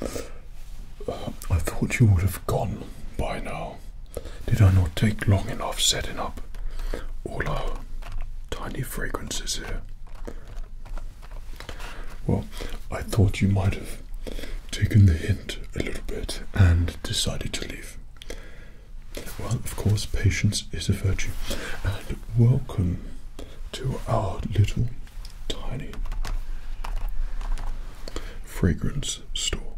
I thought you would have gone by now. Did I not take long enough setting up all our tiny fragrances here? Well, I thought you might have taken the hint a little bit and decided to leave. Well, of course, patience is a virtue. And welcome to our little tiny fragrance Store.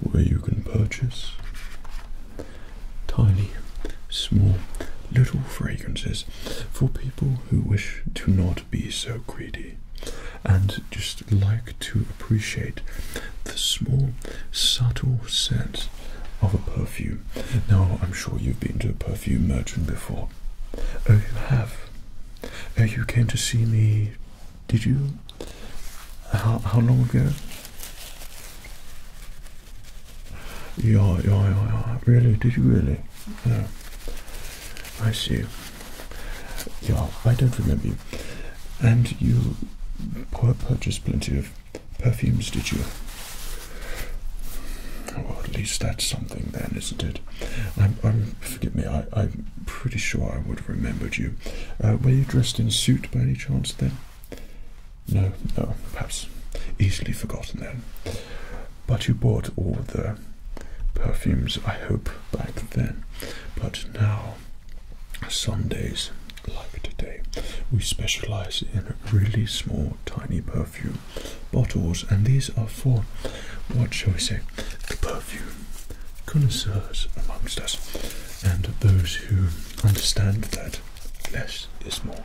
Where you can purchase tiny, small, little fragrances for people who wish to not be so greedy and just like to appreciate the small, subtle scent of a perfume. Now, I'm sure you've been to a perfume merchant before, Oh, you have. Oh, you came to see me. Did you? How how long ago? Yeah, yeah, yeah, yeah. Really? Did you really? Yeah. I see. Yeah, I don't remember you. And you purchased plenty of perfumes, did you? Well, at least that's something then, isn't it? I'm, I'm forgive me, I, I'm pretty sure I would have remembered you. Uh, were you dressed in suit by any chance then? No, no, perhaps easily forgotten then. But you bought all the perfumes, I hope, back then. But now, some days, like today, we specialize in really small, tiny perfumes perfume bottles, and these are for what shall we say, the perfume connoisseurs amongst us, and those who understand that less is more.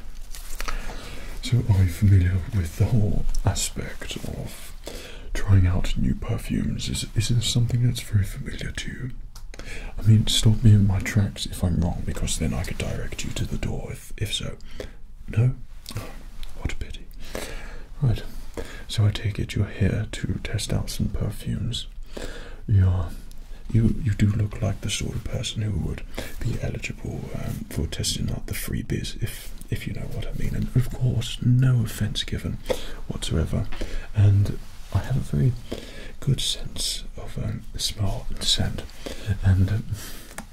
So, are you familiar with the whole aspect of trying out new perfumes? Is, is this something that's very familiar to you? I mean, stop me in my tracks if I'm wrong, because then I could direct you to the door if, if so. No? what a pity. Right, so I take it you're here to test out some perfumes. You're, you, you do look like the sort of person who would be eligible um, for testing out the freebies, if, if you know what I mean. And of course, no offense given whatsoever. And I have a very good sense of um, smell and scent. And um,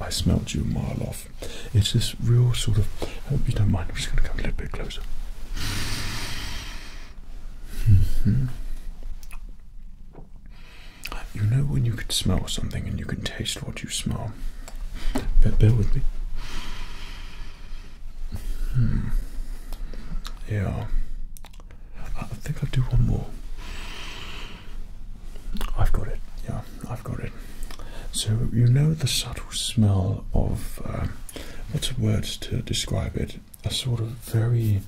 I smelt you a mile off. It's this real sort of. I hope you don't mind. I'm just going to come a little bit closer. Mm-hmm. You know when you can smell something and you can taste what you smell. Bear, bear with me. Hmm. Yeah. I think I'll do one more. I've got it. Yeah, I've got it. So you know the subtle smell of uh, um, what's words to describe it? A sort of very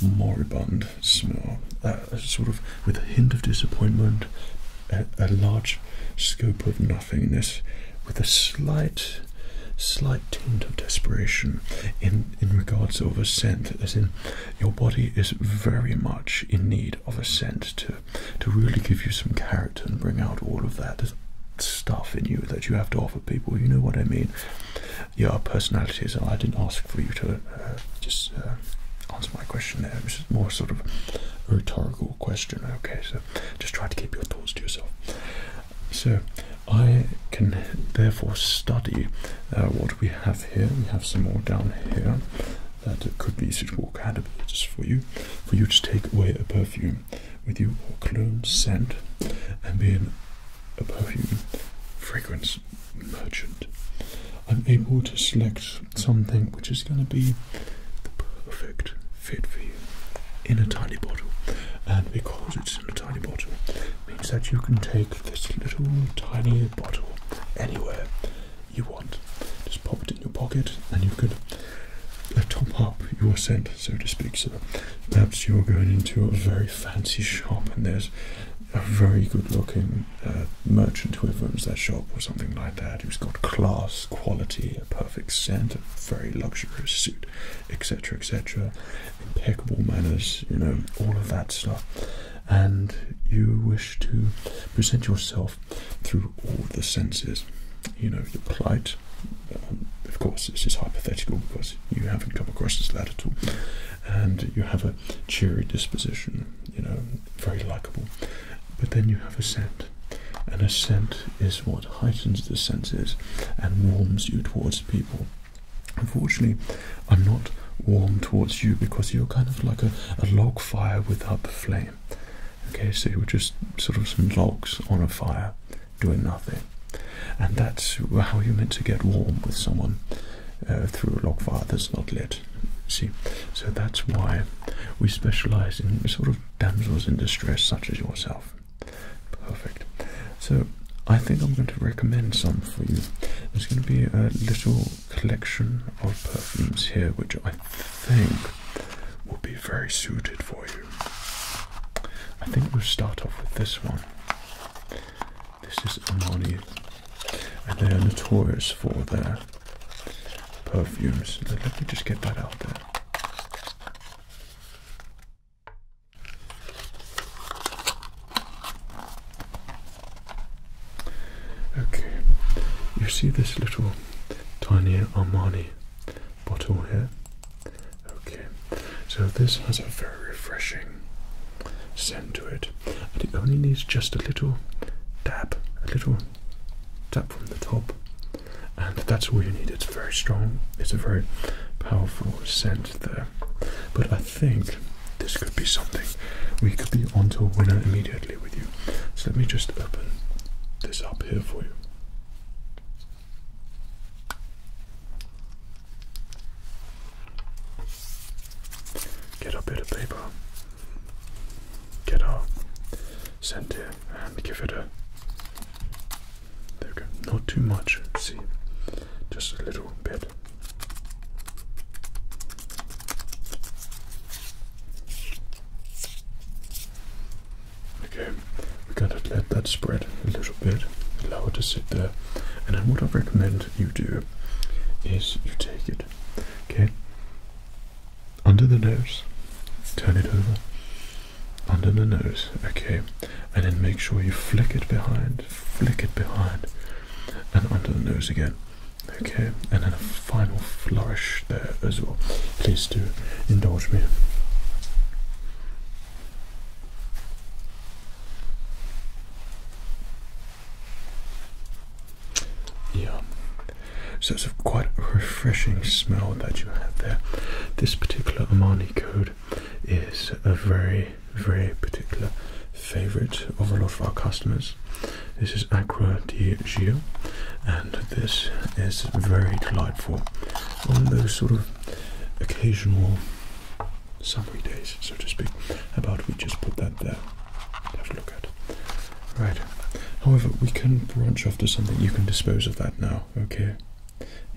moribund smell, uh, sort of with a hint of disappointment, a, large scope of nothingness, with a slight, slight tint of desperation in in regards of a scent, as in your body is very much in need of a scent to to really give you some character and bring out all of that stuff in you that you have to offer people. You know what I mean? Your our personalities. I didn't ask for you to uh, just uh, answer my question there. It was more sort of a rhetorical question. Okay, so just try to keep your thoughts to yourself. So I can therefore study uh, what we have here. We have some more down here that could be suitable candidates for you. For you to take away a perfume with you or clone scent and being a perfume fragrance merchant. I'm able to select something which is going to be the perfect fit for you in a tiny bottle. And because it's in a tiny bottle, means that you can take this little tiny bottle anywhere you want. Just pop it in your pocket and you could uh, top up your scent, so to speak. So perhaps you're going into a very fancy shop and there's a very good looking uh, merchant who runs that shop or something like that who's got class, quality, a perfect scent, a very luxurious suit, etc., etc., impeccable manners, you know, all of that stuff and you wish to present yourself through all the senses. You know, your plight, um, of course, this is hypothetical because you haven't come across this lad at all, and you have a cheery disposition, you know, very likable. But then you have a scent, and a scent is what heightens the senses and warms you towards people. Unfortunately, I'm not warm towards you because you're kind of like a, log fire without the flame. Okay, so you're just sort of some logs on a fire doing nothing. And that's how you're meant to get warm with someone uh, through a log fire that's not lit. See, so that's why we specialize in sort of damsels in distress such as yourself. Perfect. So I think I'm going to recommend some for you. There's going to be a little collection of perfumes here, which I think will be very suited for you. I think we'll start off with this one. This is Armani, and they are notorious for their perfumes. Let me just get that out there. Okay, you see this little tiny Armani bottle here? Okay, so this has a very refreshing scent to it, and it only needs just a little dab, a little tap from the top, and that's all you need. It's very strong, it's a very powerful scent there, but think this could be something. We could be onto a winner immediately with you. So let me just open this up here for you. Get a bit of paper. Get our center and give it a. There we go. Not too much. See, just a little bit. Okay, we're gonna let that spread a little bit, allow it to sit there, and then what I recommend you do is you take it, okay, under the nose, turn it over, under the nose, okay, and then make sure you flick it behind, flick it behind, and under the nose again. Okay, and then a final flourish there as well. Please do indulge me. Yeah, so it's a quite refreshing smell that you have there. This particular Armani code is a very very, particular favorite of all of our customers. This is Aqua di Gio, and this is very delightful on those sort of occasional summery days, so to speak. How about we just put that there? Have a look at. Right. However, we can branch off to something. You can dispose of that now. Okay.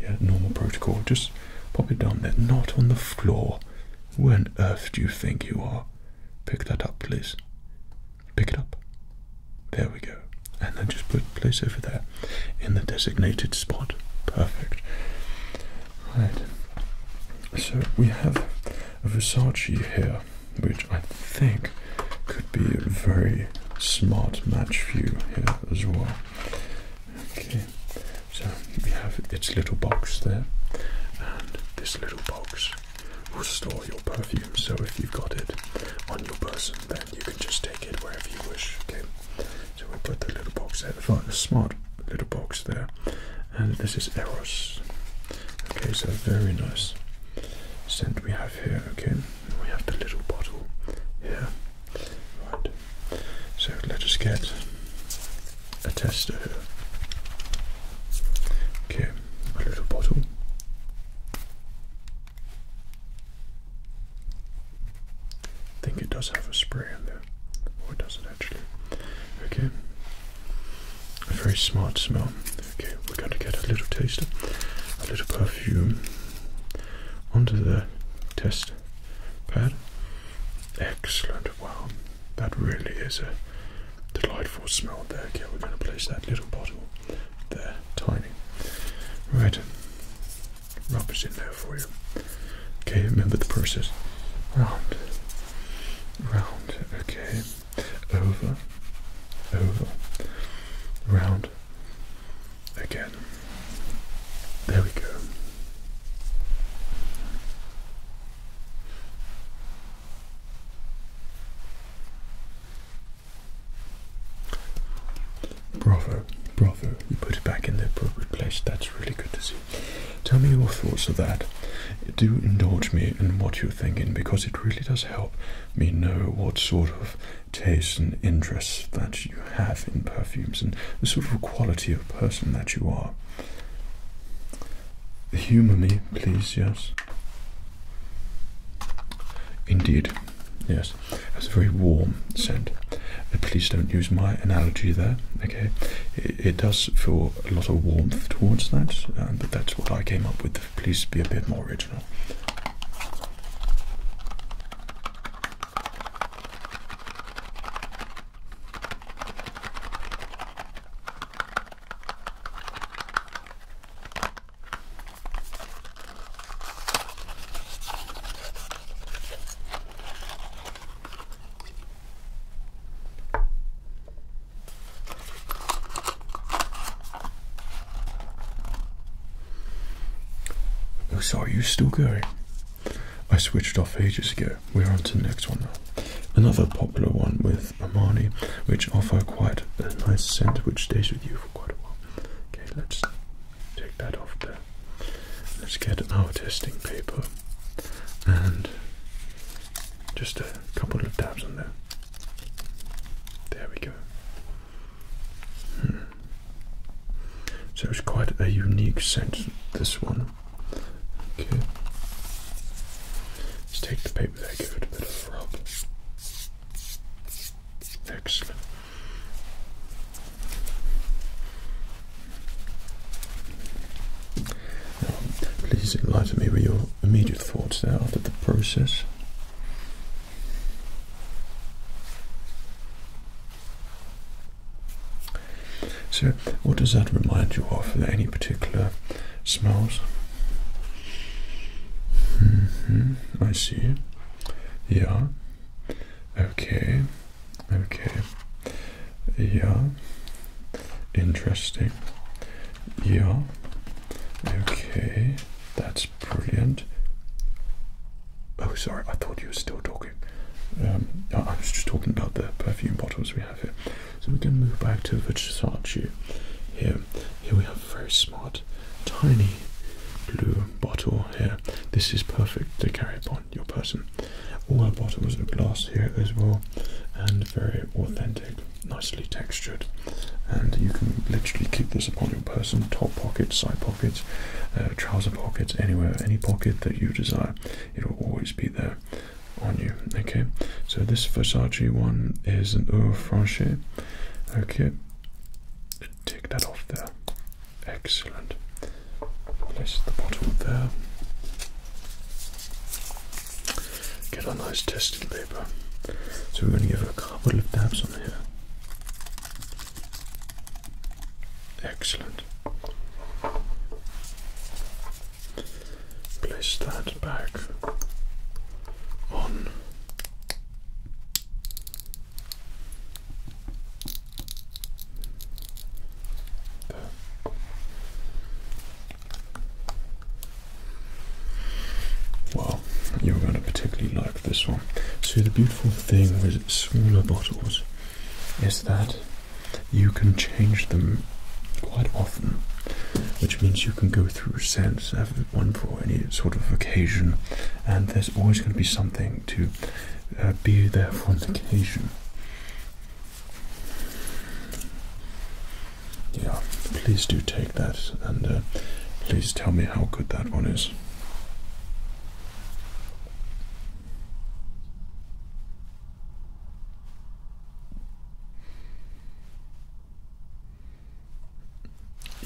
Yeah. Normal protocol. Just pop it down there. Not on the floor. Where on earth do you think you are? Pick that up, please. Pick it up. There we go. And then just put place over there in the designated spot. Perfect. Right. So we have a Versace here, which I think could be a very smart match for you here as well. Okay so you have its little box there, and this little box will store your perfume. So if you've got it on your person, then you can just take it wherever you wish. Okay, so we put the little box there, a smart little box there, and this is Eros. Okay, so very nice scent we have here. Okay, we have the little bottle here. Right, so let us get a tester. her. Okay, a little bottle. I think it does have a spray in there. Or does it actually? Okay. A very smart smell. Okay, we're gonna get a little taste, of a little perfume onto the test pad. Excellent, wow. That really is a delightful smell there. Okay, we're going to place that little bottle there, tiny. Right, rubber's in there for you. Okay, remember the process. Round, round, okay, over, over, round, again. There we go. Bravo, bravo. You put it back in the appropriate place. That's really good to see. Tell me your thoughts of that. Do indulge me in what you're thinking because it really does help me know what sort of tastes and interests that you have in perfumes and the sort of quality of person that you are. Humor me, please, yes. Indeed, yes. That's a very warm scent. Uh, please don't use my analogy there, okay? It, does feel a lot of warmth towards that, but that's what I came up with. Please be a bit more original. Oh, sorry, you still going? I switched off ages ago. We're on to the next one now. Another popular one with Armani, which offer quite a nice scent which stays with you for quite a while. Okay, let's take that off there. Let's get our testing paper and just a couple of dabs on there. There we go. Hmm. So it's quite a unique scent, this one. Okay. Let's take the paper there, give it a bit of rub. Excellent. please enlighten me with your immediate thoughts there after the process. So, what does that remind you of? any particular smells? Mm-hmm, I see. Yeah. Okay. Okay. Yeah. Interesting. Yeah. Okay. That's brilliant. Oh, sorry. I thought you were still talking. Um, I was just talking about the perfume bottles we have here. So we can move back to Versace here. Here we have a very smart, tiny blue bottle here. This is perfect to carry upon your person. All our bottles are glass here as well and very authentic, nicely textured. And you can literally keep this upon your person, top pockets, side pockets, uh, trouser pockets, anywhere, any pocket that you desire it'll always be there on you. Okay, so this Versace one is an eau francais. Okay, take that off there. Excellent. Place the bottle there. Get a nice testing paper. So we're going to give a couple of dabs on here. Excellent. Place that back on. Well, you're going to particularly like this one. So, the beautiful thing with smaller bottles is that you can change them quite often, which means you can go through sets, of one for any sort of occasion, and there's always going to be something to uh, be there for an occasion. Yeah, please do take that, and uh, please tell me how good that one is.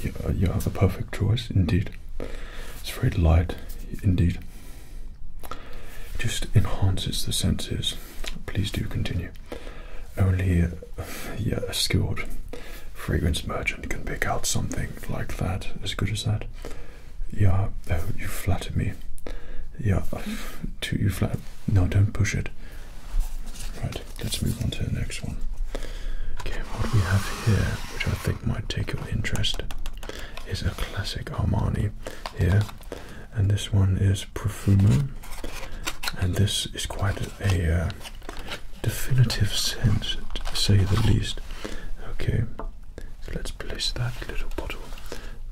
You are, you the perfect choice, indeed. It's very light, indeed. Just enhances the senses. Please do continue. Only a skilled fragrance merchant can pick out something like that, as good as that. Yeah, you flatter me. Yeah, too, you flat. No, don't push it. Right, let's move on to the next one. Okay, what we have here, which I think might take your interest, is a classic Armani here. And this one is Profumo. And this is quite a uh, definitive scent, say the least. Okay, so let's place that little bottle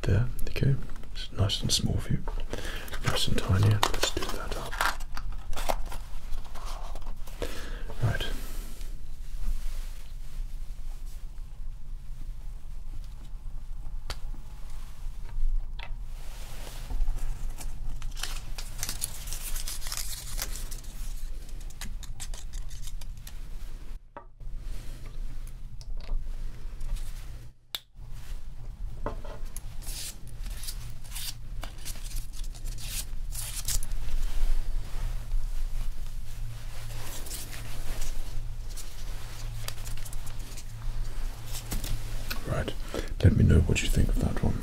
there. Okay, it's nice and small for you, nice and tiny. Let's do that up. Right. Right, let me know what you think of that one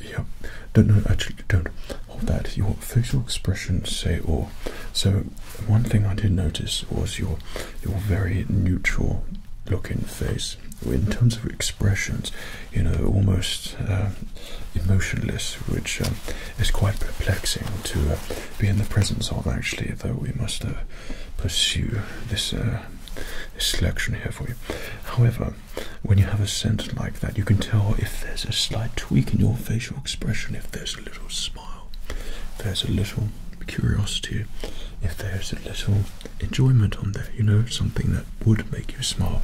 yeah don't know actually don't hold that your facial expression say or so one thing i did notice was your your very neutral looking face in terms of expressions you know almost uh, emotionless which um, is quite perplexing to uh, be in the presence of actually though we must uh, pursue this selection here for you however when you have a scent like that, you can tell if there's a slight tweak in your facial expression, if there's a little smile, if there's a little curiosity, if there's a little enjoyment on there, you know, something that would make you smile.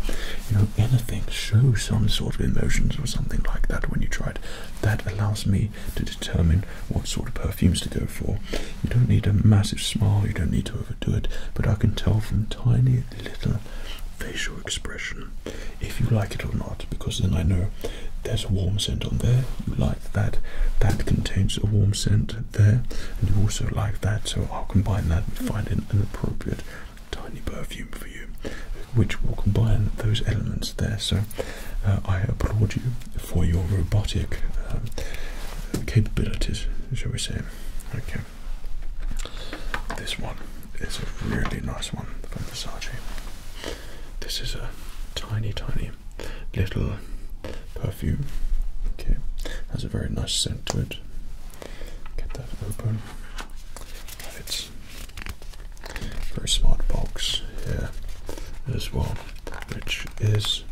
You know, anything shows some sort of emotions or something like that when you try it. That allows me to determine what sort of perfumes to go for. You don't need a massive smile, you don't need to overdo it, but I can tell from tiny little facial expression if you like it or not, because then I know there's a warm scent on there. You like that. That contains a warm scent there, and you also like that. So I'll combine that and find an, appropriate tiny perfume for you, which will combine those elements there. So uh, I applaud you for your robotic uh, capabilities, shall we say? Okay. This one is a really nice one from Versace. This is a tiny, tiny little perfume. Okay, has a very nice scent to it. Get that open. And it's very smart box here as well, which is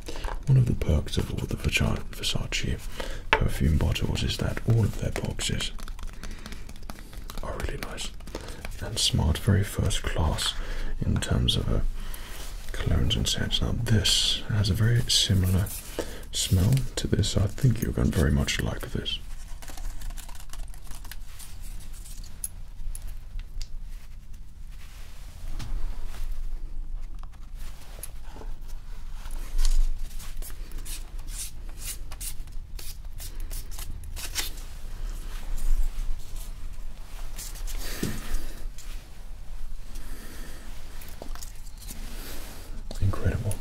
one of the perks of all the Versace perfume bottles is that all of their boxes are really nice and smart, very first class in terms of uh, colognes and scents. Now, this has a very similar smell to this. I think you're going to very much like this. Incredible.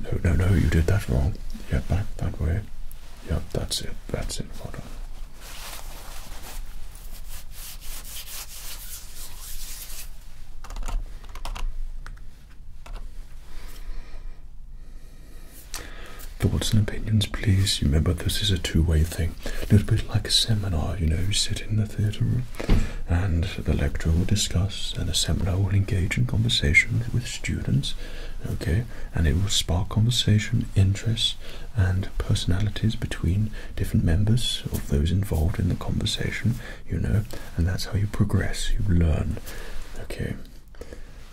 No, no, no, you did that wrong. Yep, back that way. Yep, that's it. That's it. Well Thoughts and opinions, please. Remember, this is a two-way thing. A little bit like a seminar, you know, you sit in the theatre room and the lecturer will discuss and the seminar will engage in conversation with students, okay, and it will spark conversation, interests and personalities between different members of those involved in the conversation, you know, and that's how you progress, you learn. Okay,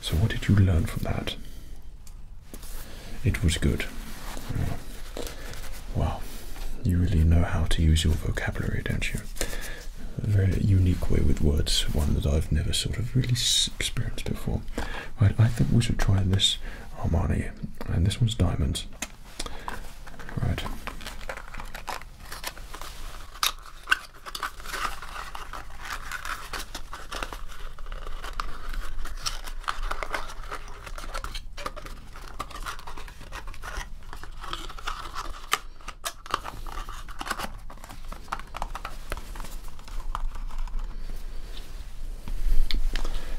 so what did you learn from that? It was good. Well, you really know how to use your vocabulary, don't you? A very unique way with words, one that I've never sort of really experienced before. Right, I think we should try this Armani, and this one's diamonds.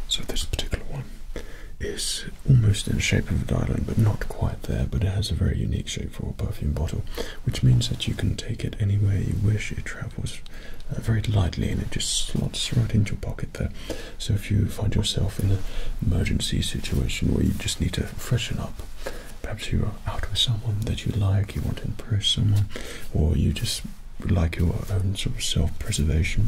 So this particular one is almost in the shape of a diamond, but not quite there. But it has a very unique shape for a perfume bottle, which means that you can take it anywhere you wish. It travels uh, very lightly, and it just slots right into your pocket there. So if you find yourself in an emergency situation where you just need to freshen up, perhaps you're out with someone that you like, you want to impress someone, or you just like your own sort of self-preservation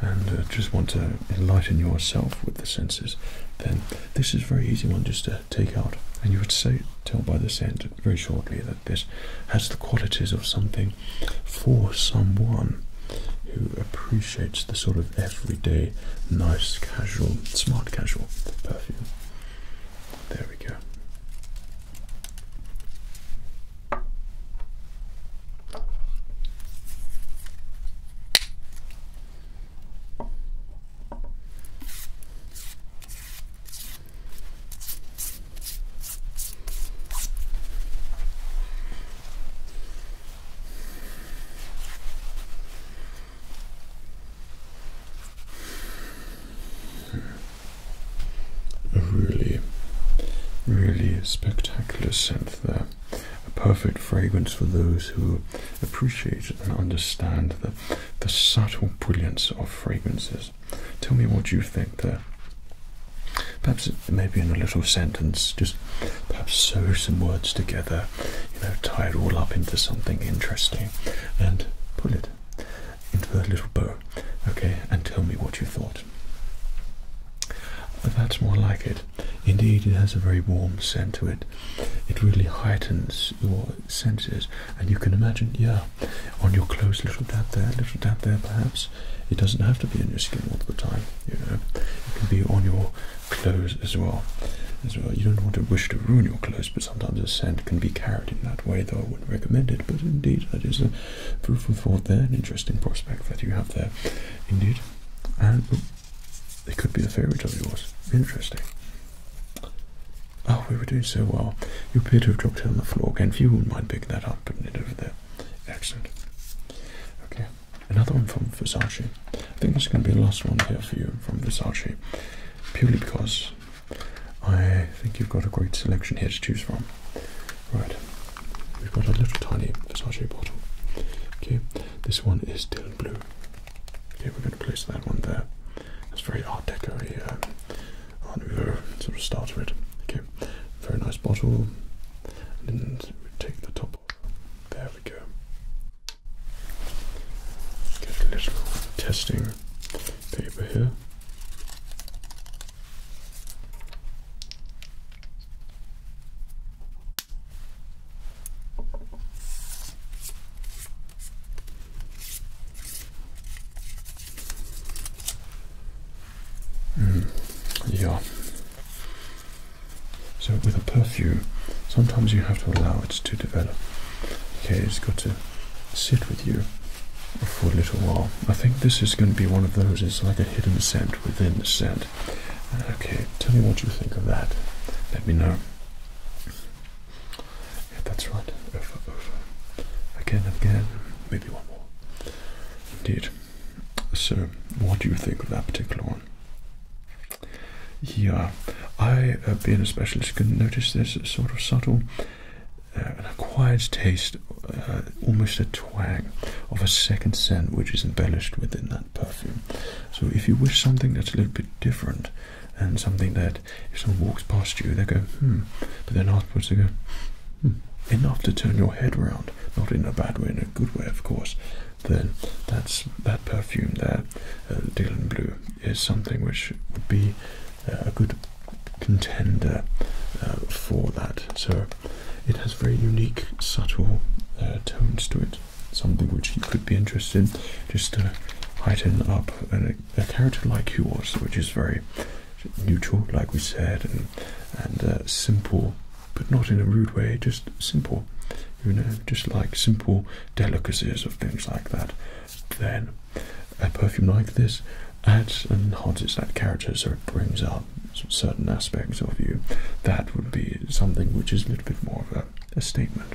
and uh, just want to enlighten yourself with the senses, then this is very easy one just to take out. And you would say, tell by the scent very shortly that this has the qualities of something for someone who appreciates the sort of everyday, nice, casual, smart casual perfume. There we go. A really, really spectacular synth there a, perfect fragrance for those who appreciate and understand the, the subtle brilliance of fragrances. Tell me what you think there. Perhaps maybe in a little sentence, just perhaps sew some words together, you know, tie it all up into something interesting and pull it into a little bow, okay, and tell me what you thought. That's more like it. Indeed, it has a very warm scent to it. It really heightens your senses, and you can imagine, yeah, on your clothes, little dab there, little dab there, perhaps. It doesn't have to be on your skin all the time, you know. It can be on your clothes as well. As well, you don't want to wish to ruin your clothes, but sometimes a scent can be carried in that way. Though I wouldn't recommend it, but indeed, that is a proof of thought there, an interesting prospect that you have there. Indeed. And it could be a favourite of yours. Interesting. Oh, we were doing so well. You appear to have dropped it on the floor again. If you wouldn't mind picking that up, putting it over there. Excellent. Okay, another one from Versace. I think this is going to be the last one here for you from Versace, purely because I think you've got a great selection here to choose from. Right, we've got a little tiny Versace bottle. Okay, this one is still blue. Okay, we're going to place that one there. It's very Art Deco, um, sort of style it. Okay, very nice bottle. And we take the top off. There we go. Get a little testing paper here. Mm, yeah. So with a perfume, sometimes you have to allow it to develop. Okay, it's got to sit with you for a little while. I think this is going to be one of those. It's like a hidden scent within the scent. Okay, tell me what you think of that. Let me know. Yeah, that's right. Over, over. Again, again. Maybe one more. Indeed. So, what do you think of that particular one? Yeah, I, uh, being a specialist, can notice this sort of subtle uh, an acquired taste uh, almost a twang of a second scent which is embellished within that perfume. So if you wish something that's a little bit different and something that if someone walks past you they go hmm, but then afterwards they go hmm, enough to turn your head round, not in a bad way, in a good way of course. Then that's that perfume there, uh, Blue, is something which would be uh, a good contender uh, for that. So it has very unique, subtle uh, tones to it. Something which you could be interested in, just to uh, heighten up a, a character like yours, which is very neutral, like we said, and, and uh, simple, but not in a rude way, just simple. You know, just like simple delicacies or things like that. Then a perfume like this adds and enhances that character so it brings out certain aspects of you, that would be something which is a little bit more of a, statement.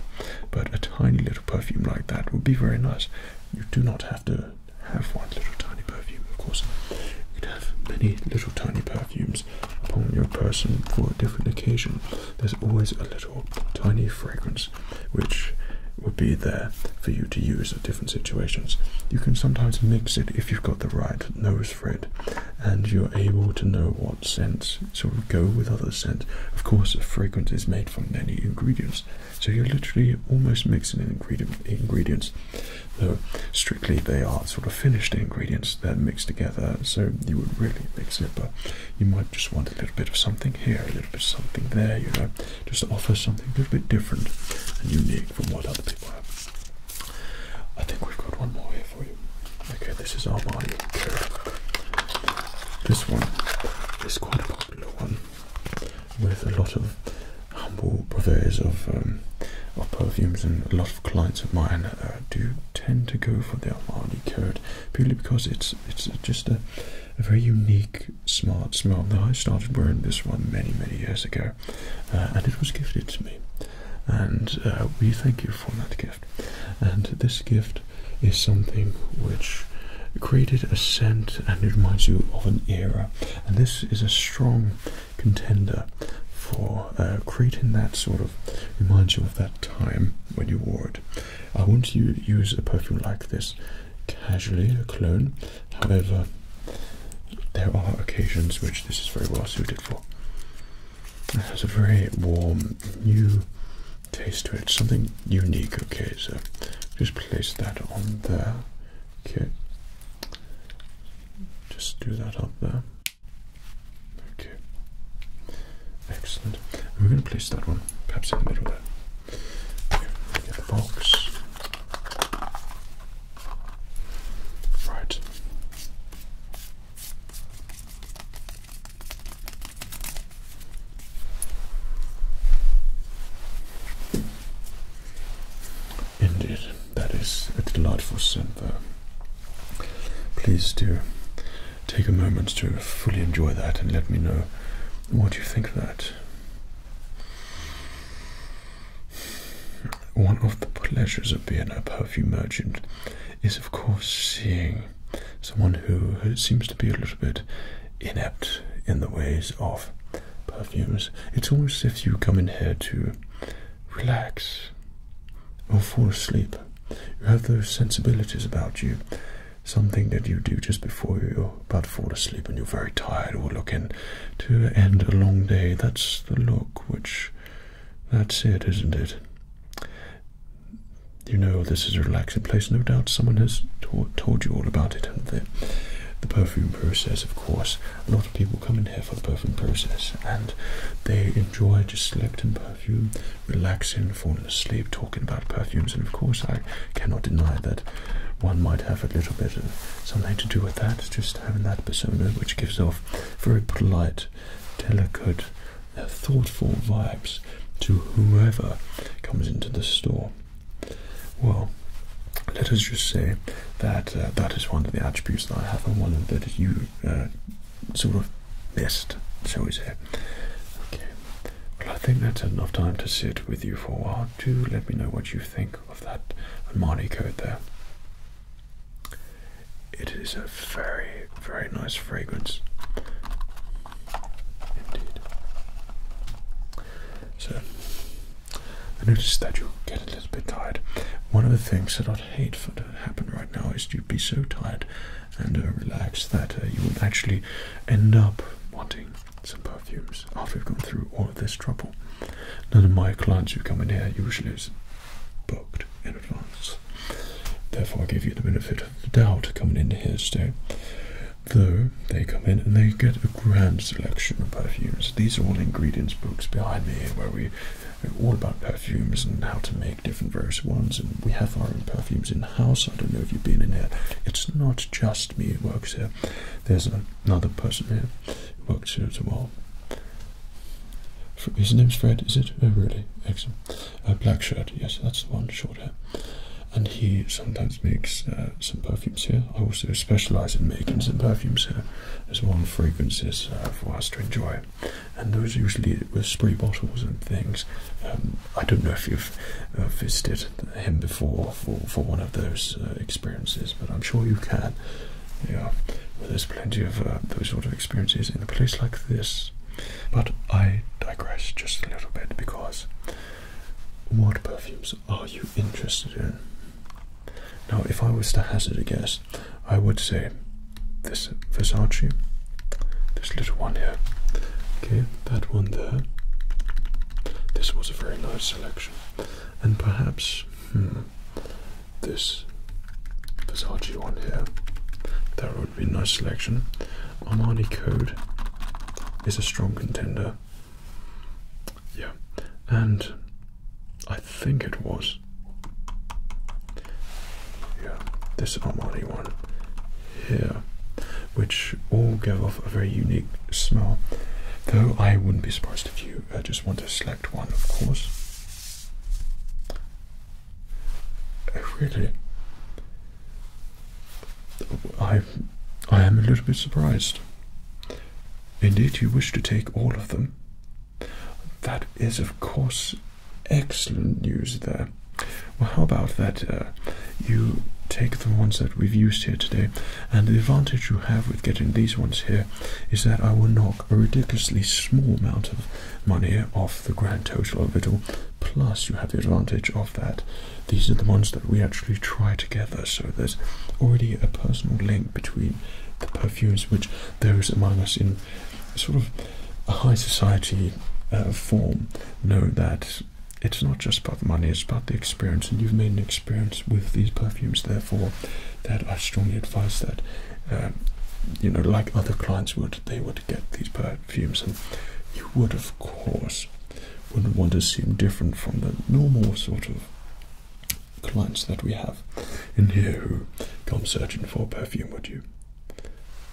But a tiny little perfume like that would be very nice. You do not have to have one little tiny perfume, of course. You could have many little tiny perfumes upon your person for a different occasion. There's always a little tiny fragrance which would be there for you to use at different situations. You can sometimes mix it if you've got the right nose goes and you're able to know what scents sort of go with other scents. Of course, a fragrance is made from many ingredients, so you're literally almost mixing in ingredient, ingredients, though strictly they are sort of finished ingredients that mixed together, so you would really mix it, but you might just want a little bit of something here, a little bit of something there, you know, just offer something a little bit different and unique from what other people have. I think we've got one more here for you. Okay, this is Armani Coat. This one is quite a popular one with a lot of humble purveyors of, um, perfumes and a lot of clients of mine uh, do tend to go for the Armani Coat purely because it's it's just a, a very unique, smart smell. Now, I started wearing this one many, many years ago uh, and it was gifted to me. And uh, we thank you for that gift. And this gift is something which created a scent and it reminds you of an era. And this is a strong contender for uh, creating that sort of reminds you of that time when you wore it. I want you use a perfume like this casually, a clone, However, there are occasions which this is very well suited for. It has a very warm, new taste to it, something unique. Okay, so just place that on there. Okay, just do that up there. Okay, excellent. we're going to place that one perhaps in the middle there. Okay, get the box. Right. Indeed, that is a delightful scent there. Please do take a moment to fully enjoy that and let me know what you think of that. One of the pleasures of being a perfume merchant is, of course, seeing someone who seems to be a little bit inept in the ways of perfumes. It's almost as if you come in here to relax or fall asleep. You have those sensibilities about you. Something that you do just before you're about to fall asleep and you're very tired or looking to end a long day. That's the look, which that's it, isn't it? You know this is a relaxing place. No doubt someone has told you all about it, The perfume process, of course. A lot of people come in here for the perfume process, and they enjoy just selecting perfume, relaxing, falling asleep, talking about perfumes. And of course, I cannot deny that one might have a little bit of something to do with that. Just having that persona which gives off very polite, delicate, uh, thoughtful vibes to whoever comes into the store. Well, let us just say that uh, that is one of the attributes that I have and one that you uh, sort of missed, shall we say. Okay, well, I think that's enough time to sit with you for a while. Do let me know what you think of that Armani coat there. It is a very, very nice fragrance. Indeed. So, I noticed that you get a little bit tired. One of the things that I'd hate for to happen right now is to be so tired and uh, relaxed that uh, you would actually end up wanting some perfumes after you've gone through all of this trouble. None of my clients who come in here usually is booked in advance. Therefore, I give you the benefit of the doubt coming in here today. Though they come in and they get a grand selection of perfumes. These are all ingredients books behind me where we are all about perfumes and how to make different various ones. And we have our own perfumes in house. I don't know if you've been in here. It's not just me who works here. There's a another person here who works here as well. His name's Fred, is it? Oh, really? Excellent. A black shirt, yes, that's the one, short hair. And he sometimes makes uh, some perfumes here. I also specialise in making some perfumes here as well, and fragrances uh, for us to enjoy. And those usually with spray bottles and things. Um, I don't know if you've uh, visited him before for, one of those experiences, but I'm sure you can. Yeah, there's plenty of uh, those sort of experiences in a place like this. But I digress just a little bit because what perfumes are you interested in? Now, if I was to hazard a guess, I would say this Versace, this little one here, okay, that one there. This was a very nice selection, and perhaps, hmm, this Versace one here. That would be nice selection. Armani Code is a strong contender. Yeah, and I think it was. Yeah, this Armani one here, which all give off a very unique smell. Though I wouldn't be surprised if you uh, just want to select one, of course. Oh, really? I, I am a little bit surprised. Indeed, you wish to take all of them. That is, of course, excellent news there. Well, how about that? Uh, you take the ones that we've used here today and the advantage you have with getting these ones here is that I will knock a ridiculously small amount of money off the grand total of it all. Plus, you have the advantage of that. These are the ones that we actually try together, so there's already a personal link between the perfumes which there is among us in sort of high society uh, form know that it's not just about money, it's about the experience, and you've made an experience experience with these perfumes, therefore, that I strongly advise that, um, you know, like other clients would, they would get these perfumes, and you would, of course, wouldn't want to seem different from the normal sort of clients that we have in here who come searching for perfume, would you?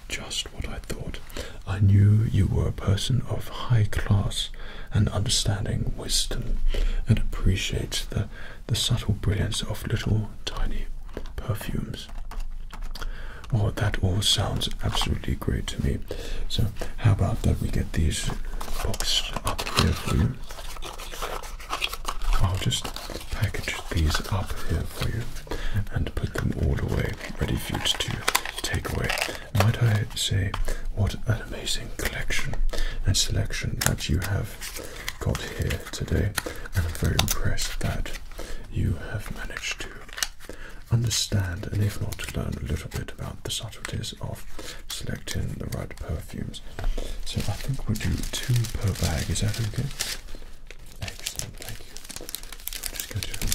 Just what I thought. I knew you were a person of high class and understanding wisdom and appreciates the, the subtle brilliance of little tiny perfumes. Well, that all sounds absolutely great to me. So, how about that we get these boxed up here for you? I'll just package these up here for you and put them all away, ready for you to take away. Might I say, what an amazing collection and selection that you have got here today, and I'm very impressed that you have managed to understand and, if not, learn a little bit about the subtleties of selecting the right perfumes. So, I think we'll do two per bag, is that okay? Excellent, thank you. just going to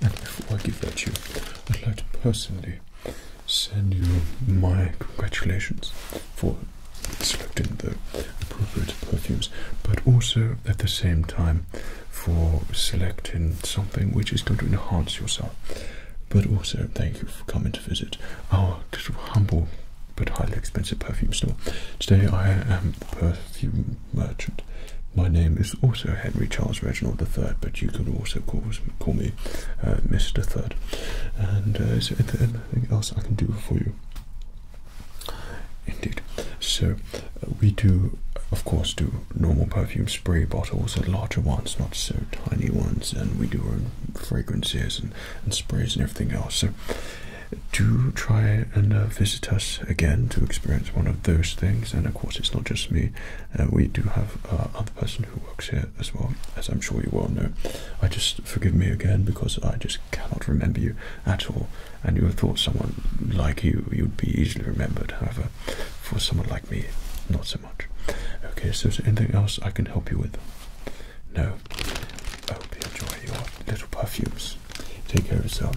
And before I give that to you, I'd like to personally send you my congratulations for selecting the appropriate perfumes, but also at the same time for selecting something which is going to enhance yourself. But also, thank you for coming to visit our humble but highly expensive perfume store. Today, I am the perfume merchant. My name is also Henry Charles Reginald III, but you can also call, call me uh, Mr. Third. And uh, is there anything else I can do for you? Indeed. So, uh, we do, of course, do normal perfume spray bottles, and larger ones, not so tiny ones, and we do fragrances and, sprays and everything else. So do try and uh, visit us again to experience one of those things. And of course, it's not just me. Uh, we do have another uh, person who works here as well, as I'm sure you well know. I just forgive me again because I just cannot remember you at all. And you would have thought someone like you, you'd be easily remembered. However, for someone like me, not so much. Okay, so is there anything else I can help you with? No. I hope you enjoy your little perfumes. Take care of yourself.